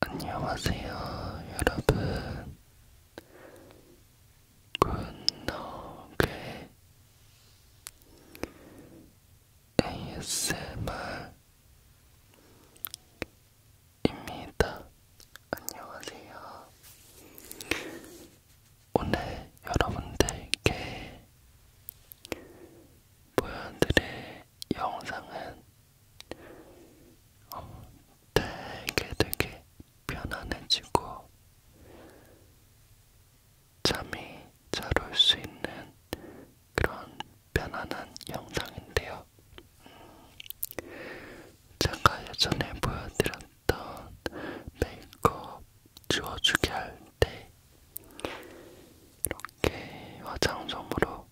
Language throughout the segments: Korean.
안녕하세요, 여러분. 굿노게 ASMR입니다. 안녕하세요. 오늘 여러분들께 보여드릴 영상은 어, 되게 되게 편안해지고 잠이 잘 올 수 있는 그런 편안한 영상인데요. 음, 제가 예전에 보여드렸던 메이크업 지워주기 할 때 이렇게 화장솜으로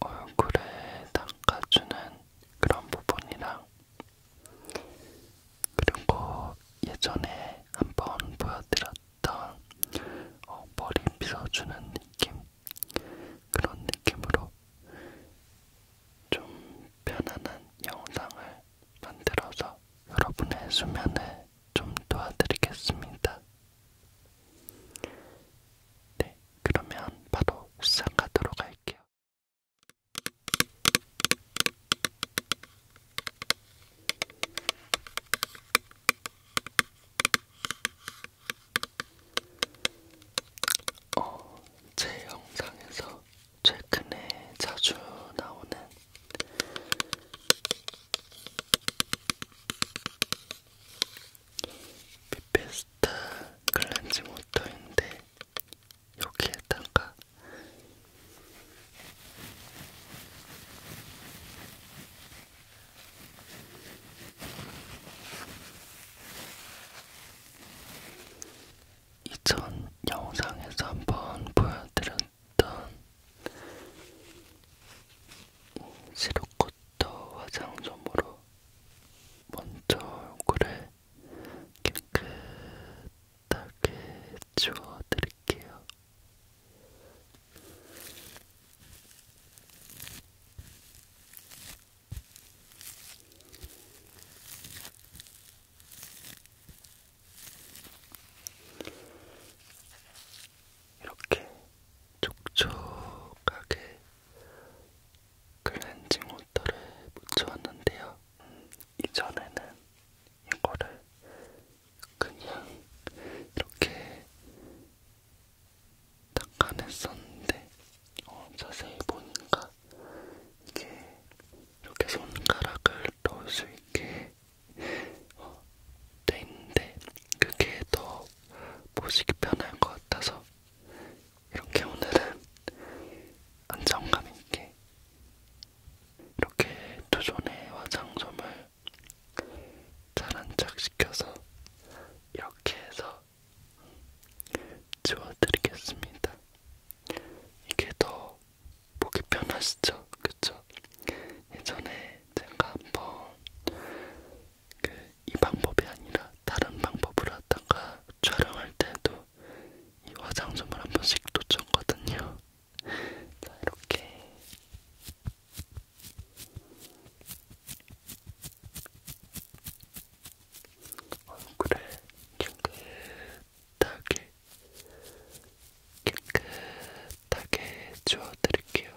얼굴을 닦아주는 그런 부분이랑 그리고 예전에 한번 보여드렸던 어, 머리 빗어주는 느낌 그런 느낌으로 좀 편안한 영상을 만들어서 여러분의 수면을 좀 도와드리겠습니다. 네, 그러면 바로 시작하도록 할게요. 어, 제 영상에서 최근에 자주 나오는 피페스타 클렌징 워터인데 여기에다가 이전 영상에서 한번 보여드렸던 시로코 코터 화장솜으로 먼저 얼굴을 깨끗하게 지워드릴게요. 이렇게 촉촉하게 클렌징 워터를 묻혀왔는데요. 음, 이전에는 이거를 그냥 이렇게 닦아냈었는데 어, 자세히 보니까 이게 이렇게 손가락을 넣을 수 있게 어, 돼 있는데 그게 더 보시기 편할 것 같아서 이렇게 오늘은 안정감 있게 이렇게 두 손의 화장솜을 잘안착 시켜서 이렇게 해서 지워드리겠습니다. 이게 더 보기 편하시죠? 그쵸? 예전에 제가 한번 그이 방법이 아니라 다른 방법으로 하다가 촬영할 때도 이 화장솜을 한 번씩 놓쳤거든요. 자, 이렇게 얼굴에 깨끗하게 깨끗하게 지워드릴게요.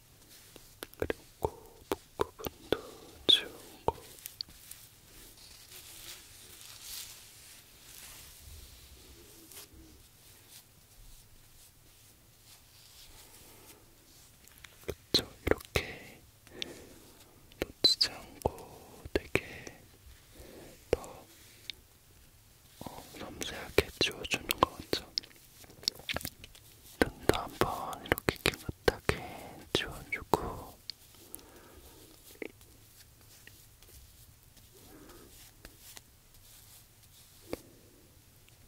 그리고 복부분도 지우고 그쵸 이렇게 놓치지 않고 되게 더 어, 섬세하게 지워주는 것 같죠? 눈도 한번 이렇게 깨끗하게 지워주고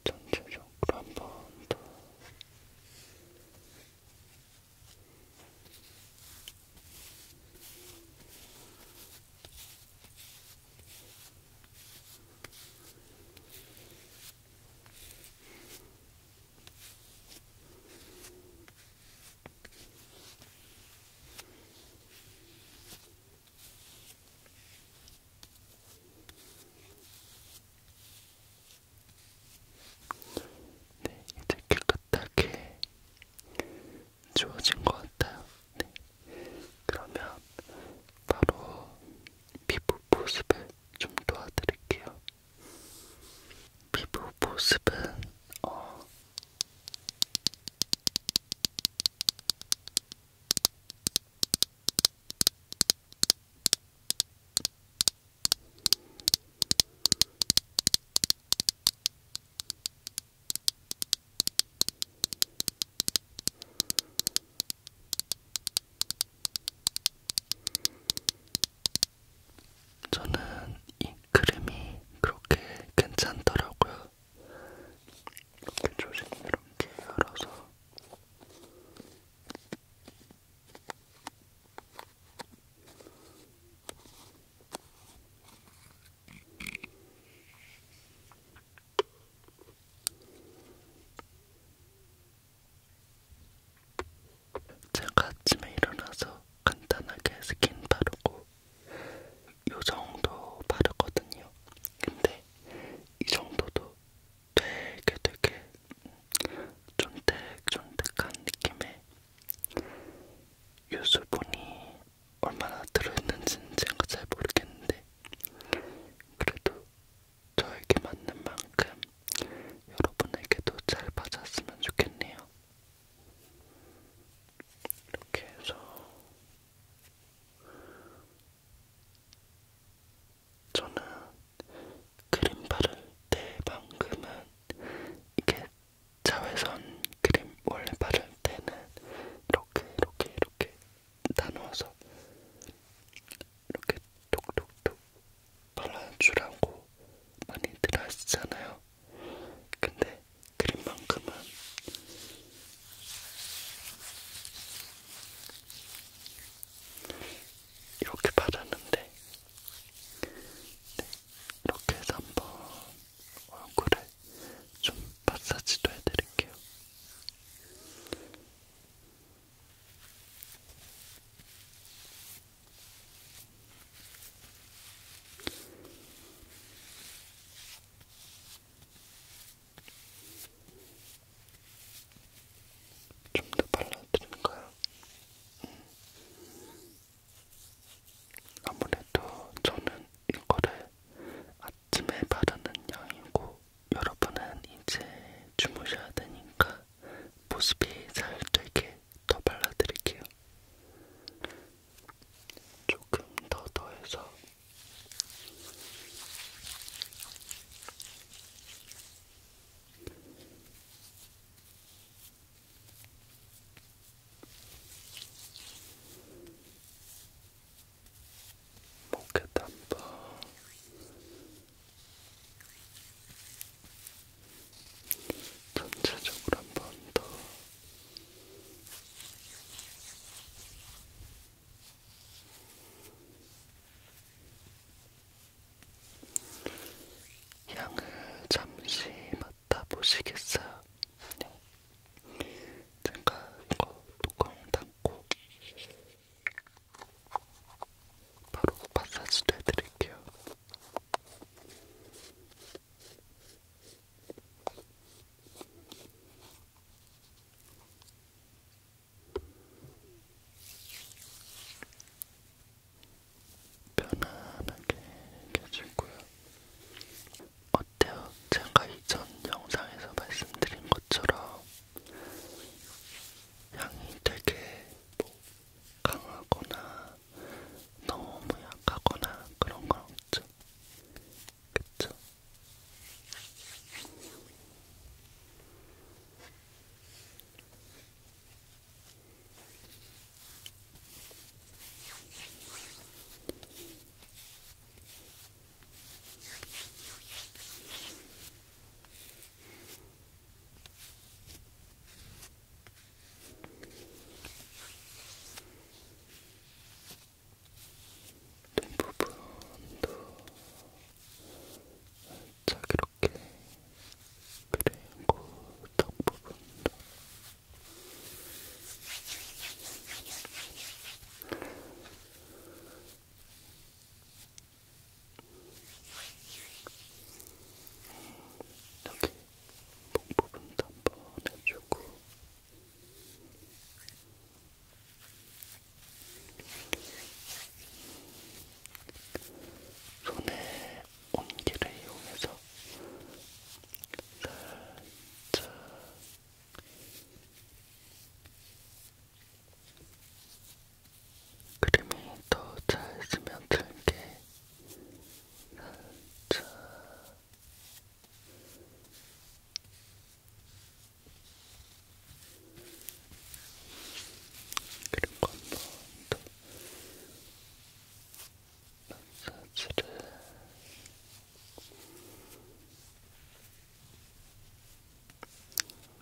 전체적으로 한번 더 네, 이제 깨끗하게 주어진 것 같아요. 네, 그러면 바로 피부 보습을 좀 도와드릴게요. 피부 보습은 어 저는 이 크림이 그렇게 괜찮더라고요. 이렇게 조심스럽게 열어서 제가 아침에 일어나서 간단하게 스킨 바르고 요정도 바르거든요. 근데 이 정도도 되게 되게 쫀득쫀득한 느낌의 유수분이 얼마나 들어있는지는 제가 잘 모르겠는데 그래도 저에게 맞는 만큼 여러분에게도 잘 맞았으면 좋겠네요. 이렇게 해서 저는 크림 바를 때만큼은 이게 자외선 크림 원래 바를 때는 이렇게 이렇게 이렇게 나누어서 이렇게 톡톡톡 발라주라고 많이들 하시잖아요. 근데 그림만큼은 이렇게 바르는데 네, 이렇게 해서 한번 얼굴에 좀 마사지도 해드릴게요. 좀더 발라드릴까요? 음. 아무래도 저는 이거를 침에 바르는 양이고 여러분은 이제 주무셔야 되니까 모습이 잘 되게 더 발라드릴게요. 조금 더 더해서 목에 담바 전체적으로 한 번 더 향을 잠시 맡아 보시겠어요? 네. 제가 이거 뚜껑 닫고 바로 마사지도 해드릴게요. 편안하게 해주고요. 어때요? 제가 이전 영상에서 말씀드린 것 것처럼 향이 되게 뭐 강하거나 너무 약하거나 그런 건 없죠. 그쵸? 부분도 살짝 이렇게 그리고 턱 부분도 여기 목 부분도 한번 해주고 손의 온기를 이용해서 살짝 그림이 더잘 스며들게 살짝 그리고 한번더 마사지를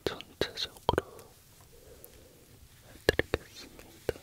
전체적으로 해드리겠습니다.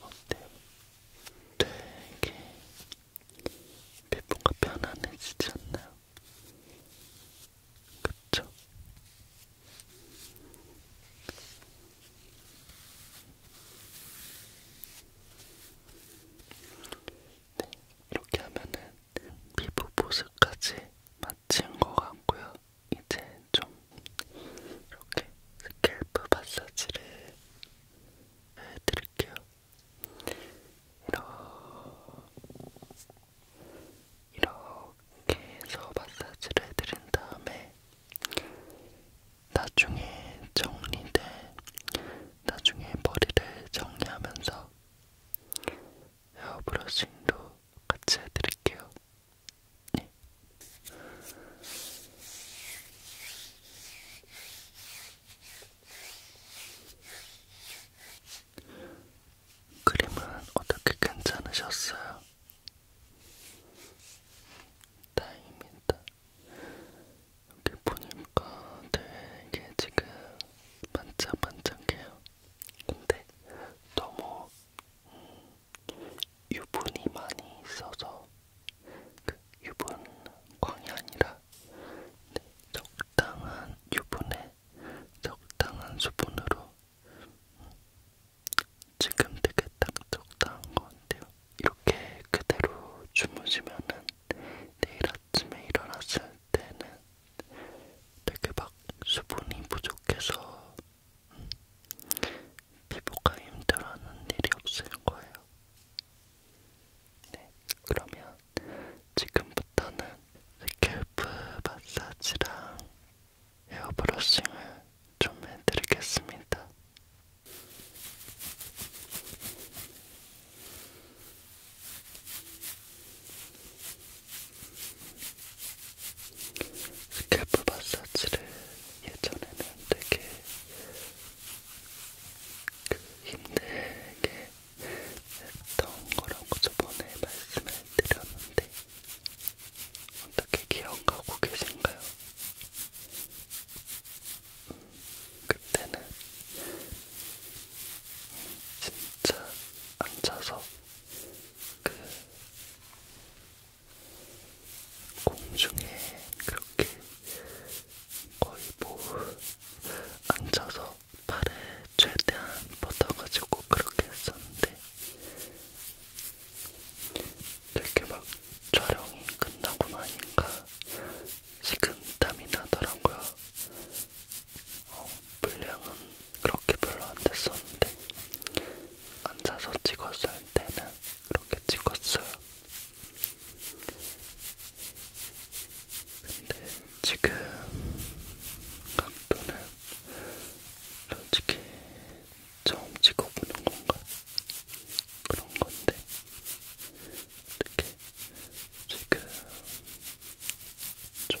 어때요? 되게 피부가 편안해지지 않나요? 그쵸? 네, 이렇게 하면은 피부 보습까지 마친 것 같고요. 이제 좀 이렇게 스캘프 마사지를 해드릴게요. 이렇게 이렇게 해서 마사지를 해드린 다음에 나중에 정리된 나중에 머리를 정리하면서 헤어 브러싱도 같이 해드릴게요. 네. 그림은 어떻게 괜찮으셨어요? 다행입니다. 여기 보니까 되게 지금 반짝반짝해요. 근데 너무 음, 유분이 많이 있어서 그 유분 광이 아니라 네, 적당한 유분에 적당한 수분으로 지금 되게 딱 적당한 것 같아요. 이렇게 그대로 주무시면은 내일 아침에 일어났을 때는 되게 막 수분이 부족해서 피부가 힘들어하는 일이 없을 거예요. 네, 그러면 지금부터는 스캘프 마사지랑 헤어브러싱을 좀 해드리겠습니다. 스캘프 마사지를 예전에는 되게 그 힘들게 했던 거라고 저번에 말씀을 드렸는데 어떻게 기억하고 계신가요? 그때는 진짜 앉아서 그 공중에 그렇게 거의 뭐 앉아서 팔에 최대한 뻗어가지고 그렇게 했었는데 되게 막 촬영이 끝나고 나니까 식은땀이 나더라고요. 어, 분량은 그렇게 별로 안 됐었는데 앉아서 찍었을 때는 그렇게 찍었어요. 근데 지금 각도는 솔직히 처음 찍어보는 건가 그런 건데 어떻게 지금 좀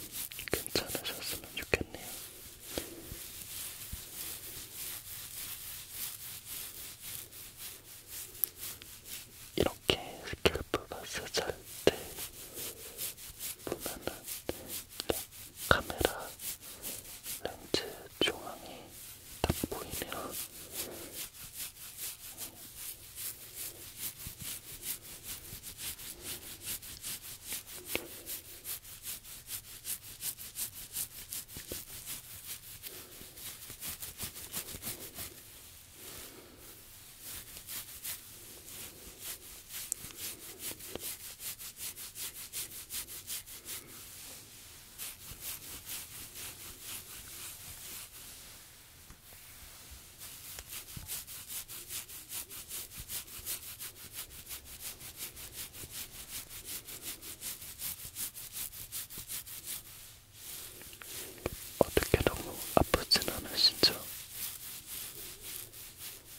괜찮으셨으면 좋겠네요. 이렇게 스캘프 마사지 할때 보면은 카메라 렌즈 중앙이 딱 보이네요. 어떻게 너무 아프진 않으시죠?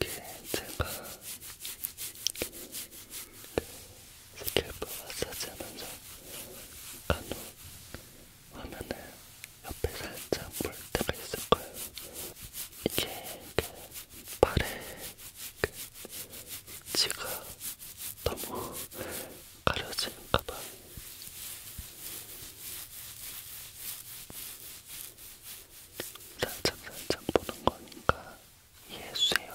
이게 제가 스킬프 뭐 마사지 하면서 간혹 화면을 옆에 살짝 볼 때가 있을 거예요. 이게 그 발에 그 지가 너무 가려진 가방 살짝 살짝 보는 거니까 이해해주세요.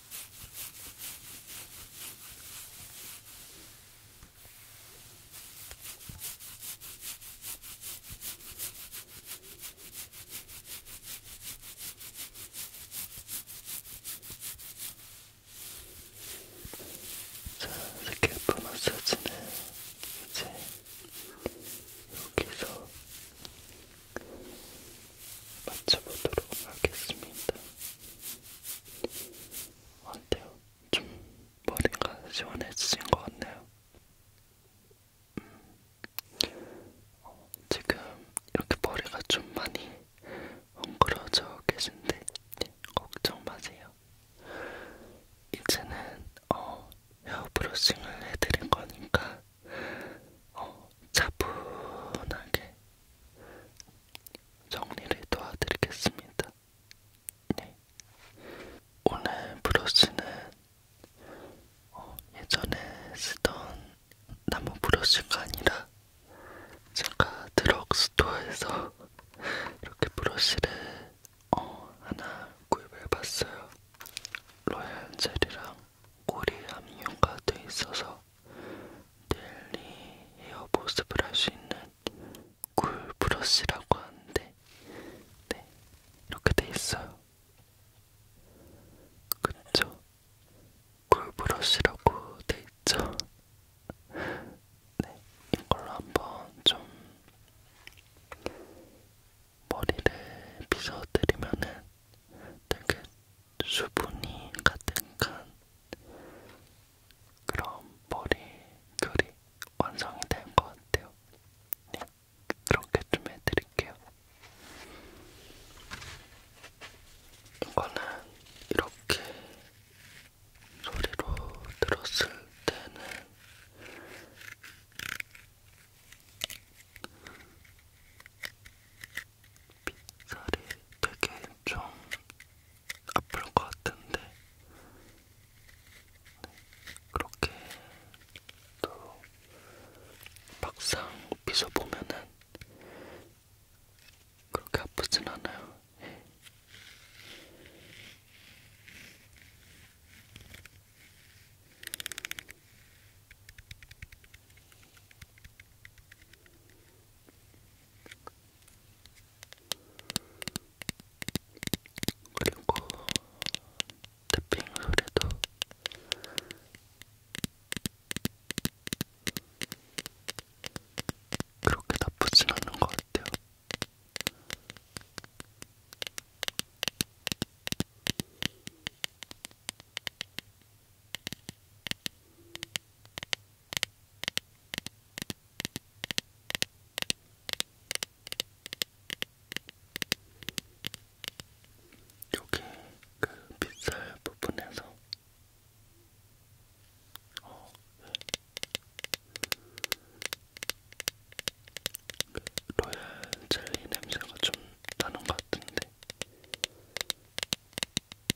자, 이렇게 마사지는 이제 여기서 맞춰보도록 하겠습니다. 어때요? 좀 머리가 시원해지신 것 같네요. 음. 어, 지금 이렇게 머리가 좀 많이 헝클어져 계신데 걱정 마세요. 이제는 어, 헤어 브러싱을 해드릴 거니까 어, 차분하게 정리를 도와드리겠습니다. 네. 오늘 브러쉬는 어, 예전에 쓰던 나무 브러쉬가 아니라 제가 드럭스토어에서 이렇게 브러쉬를 어, 하나 구입해봤어요. 로얄 젤이랑 꼬리 함유가 돼 있어서 델리 헤어 보습을 할 수 있는 굴 브러쉬라고 하는데 네 이렇게 돼 있어요. 그쵸? 굴 브러쉬라고 돼 있죠? 네 이걸로 한번 좀 머리를 빗어드리면은 되게 수분이 가득한 그런 머리결이 완성이 된 것 같아요. 네, 그렇게 좀 해드릴게요. 이거는 이렇게 소리로 들었을 때는 빛깔이 되게 좀 아플 것 같은데 네, 그렇게 또 막상 빗어보면은 그렇게 아프진 않아요. 네. 그리고 태핑 소리도 그렇게 나쁘진 않은 것 같아요. 여기 그 빗살 부분에서 어, 네. 그 로얄 젤리 냄새가 좀 나는 것 같은데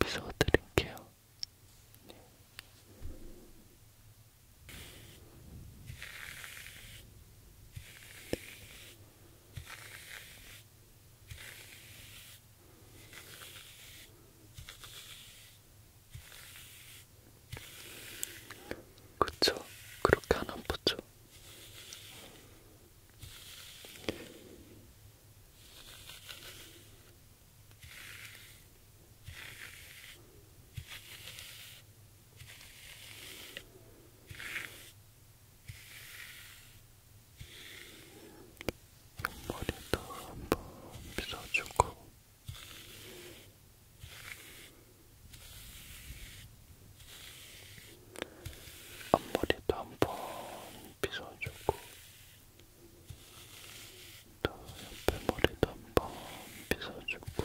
미소드릴게요. 그쵸? 그렇게 안 아프죠? 옆머리도 한번 빗어주고 앞머리도 한번 빗어주고 또 옆에 머리도 한번 빗어주고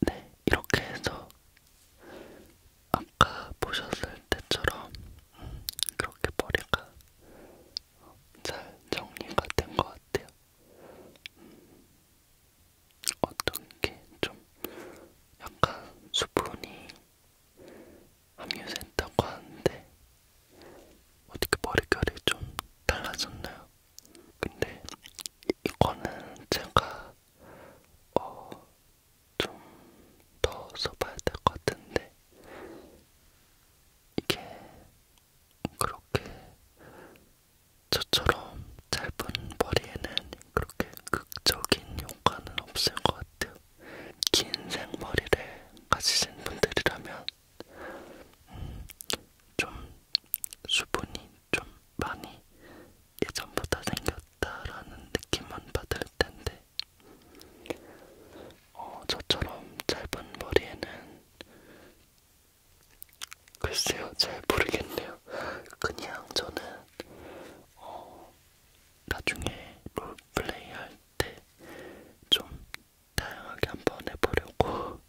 네, 이렇게 해서 아까 보셨을 때처럼 그렇게 머리가 잘 정리가 된 것 같아요. 어떤 게 좀 약간 수분이 합류센터고 하는데 어떻게 머릿결이 좀 달라졌나요? 근데 이거는 제가 어, 좀 더 써봐야 될 것 같은데 이게 그렇게 저처럼 짧은 머리에는 그렇게 극적인 효과는 없을 것 같아요. 긴 생머리를 가지신 분들이라면 음, 좀 수분이 좀 많이 예전보다 생겼다라는 느낌만 받을 텐데 어, 저처럼 짧은 머리에는 글쎄요 잘 모르겠네요. 그냥 저는 어, 나중에 롤플레이 할 때 좀 다양하게 한번 해보려고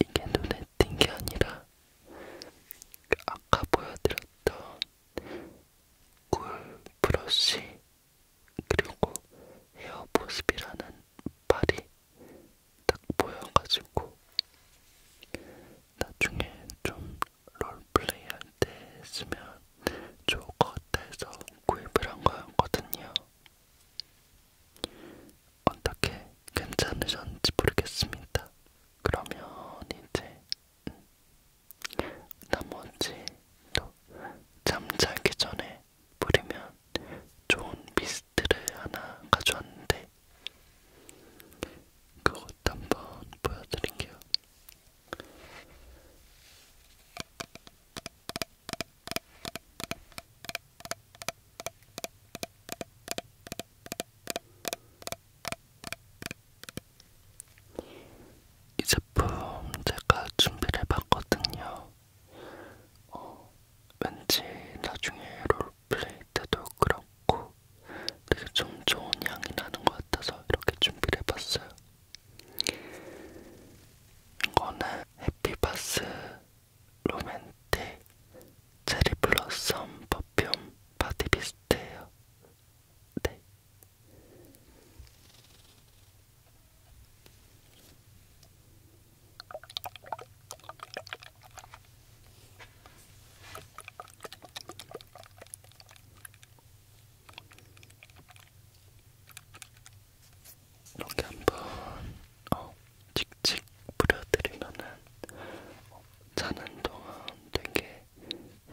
이게 눈에 띈 게 아니라 그 아까 보여드렸던 꿀 브러쉬 그리고 헤어보습이라는 발이 딱 보여가지고 나중에 좀 롤플레이 할때 쓰면 좋을 것 같아서 구입을 한 거였거든요. 어떻게 괜찮으셨는지 모르겠습니다. 그러면 이제 나머지 또 잠자기 전에 뿌리면 좋은 미스트를 하나 가져왔는데 그것도 한번 보여드릴게요. 이 제품 제가 준비를 해봤거든요. 어, 왠지 나중에 롤플레이 때도 그렇고 되게 좀 좋은 향이 나는 것 같아서 이렇게 준비를 해봤어요. 이거는 해피바스 로맨틱 체리블러썸 퍼퓸 바디비스트예요. 네. 이렇게 한번 어, 칙칙 뿌려드리면은 어, 자는 동안 되게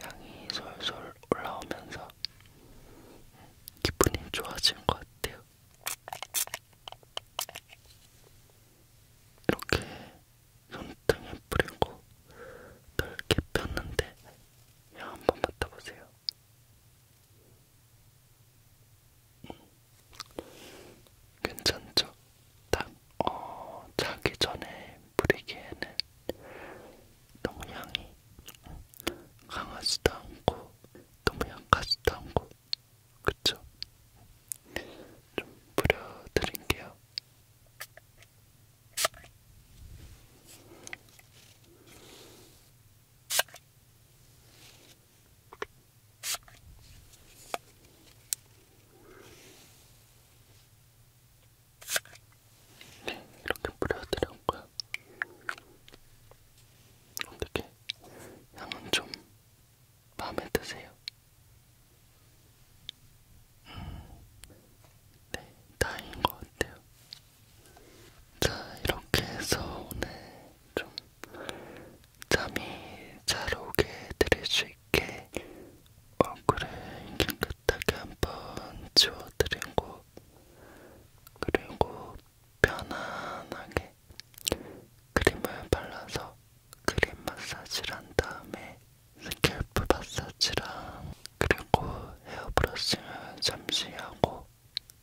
향이 솔솔 올라오면서 기분이 좋아진 것 같아요. 이렇게 손등에 뿌리고 넓게 폈는데 한번 맡아보세요. 음. 괜찮죠? 딱 어, 자기 전에 뿌리기에는 너무 향이 강하지도 않고 너무 약하지도 않고 그쵸? 좀 뿌려드릴게요. 네, 이렇게 뿌려드려온 거야. 어떻게 향은 좀 마음에 드세요? 음, 네, 다행인 것 같아요. 자, 이렇게 해서 오늘 좀 잠이 잘 오게 드릴 수 있게 얼굴을 깨끗하게 한번 지워드리고 그리고 편안하게 크림을 발라서 크림 마사지를 한 다음에 스캘프 마사지랑 그리고 헤어브러싱을 잠시 하고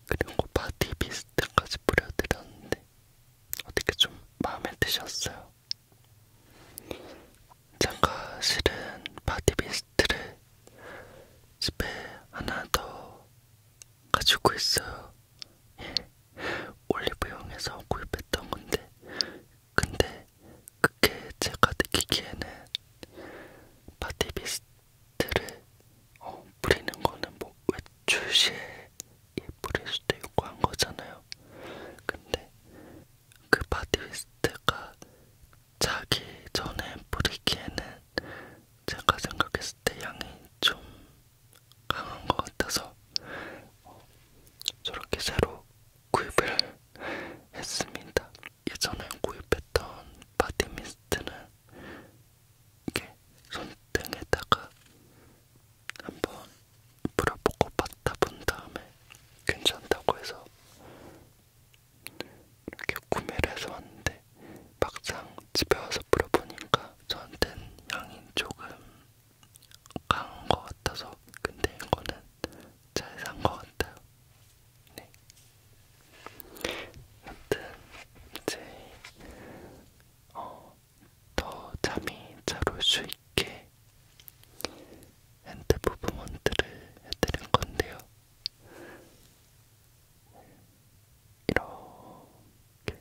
그리고 바디 미스트까지 뿌려드렸는데 어떻게 좀 마음에 드셨어요? 제가 실은 바디 미스트를 집에 하나 더 가지고 있어요. 예. 올리브영에서 구입했던 건데 근데 그게 제가 느끼기에는 바디비스트를 어, 뿌리는 거는 뭐 외출 시에 뿌릴 수도 있고 한 거잖아요. 근데 그 바디비스트가 자기 전에 뿌리기에는 제가 생각했을 때 양이 좀 강한 것 같아서 어, 저렇게 새로 구입을 했습니다. 예전에 구입했던 바디미스트는 이게 손등에다가 한번 뿌려보고 맡아 본 다음에 괜찮다고 해서 이렇게 구매를 해서 왔는데 막상 집에 와서 뿌려보니까 저한텐 향이 조금 강한 것 같아서 근데 이거는 잘 산 것 같아요. 네. 여튼 이제 어, 더 잠이 잘 올 수 있게 핸드 부분먼트를 해드린 건데요. 이렇게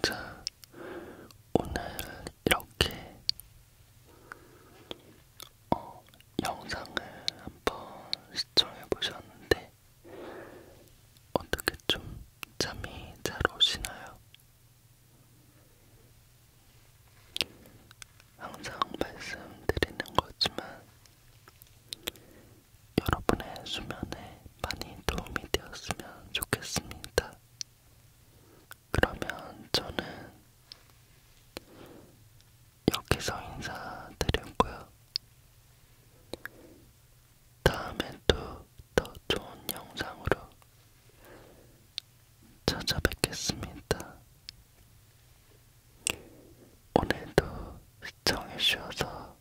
자, 오늘 이렇게 어, 영상을 한번 시청해 보셨는데 어떻게 좀 잠이 잘 오시나요? 항상 말씀드리는 거지만 여러분의 수면에 많이 도움이 되었으면 좋겠습니다. 그러면 저는 여기서 인사드렸고요. 다음에 또더 좋은 영상으로 찾아뵙겠습니다. 오늘도 시청해주셔서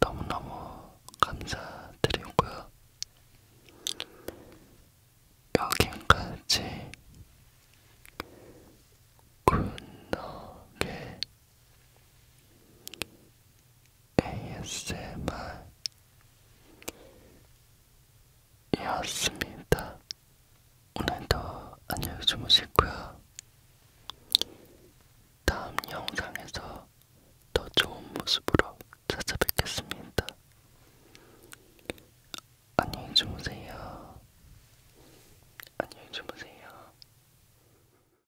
너무너무 감사드리고요. 여기까지 굿노게 ASMR이었습니다. 오늘도 안녕히 주무시고요. 다음 영상에서 더 좋은 모습으로 찾아뵙겠습니다. 안녕히 주무세요. 안녕히 주무세요.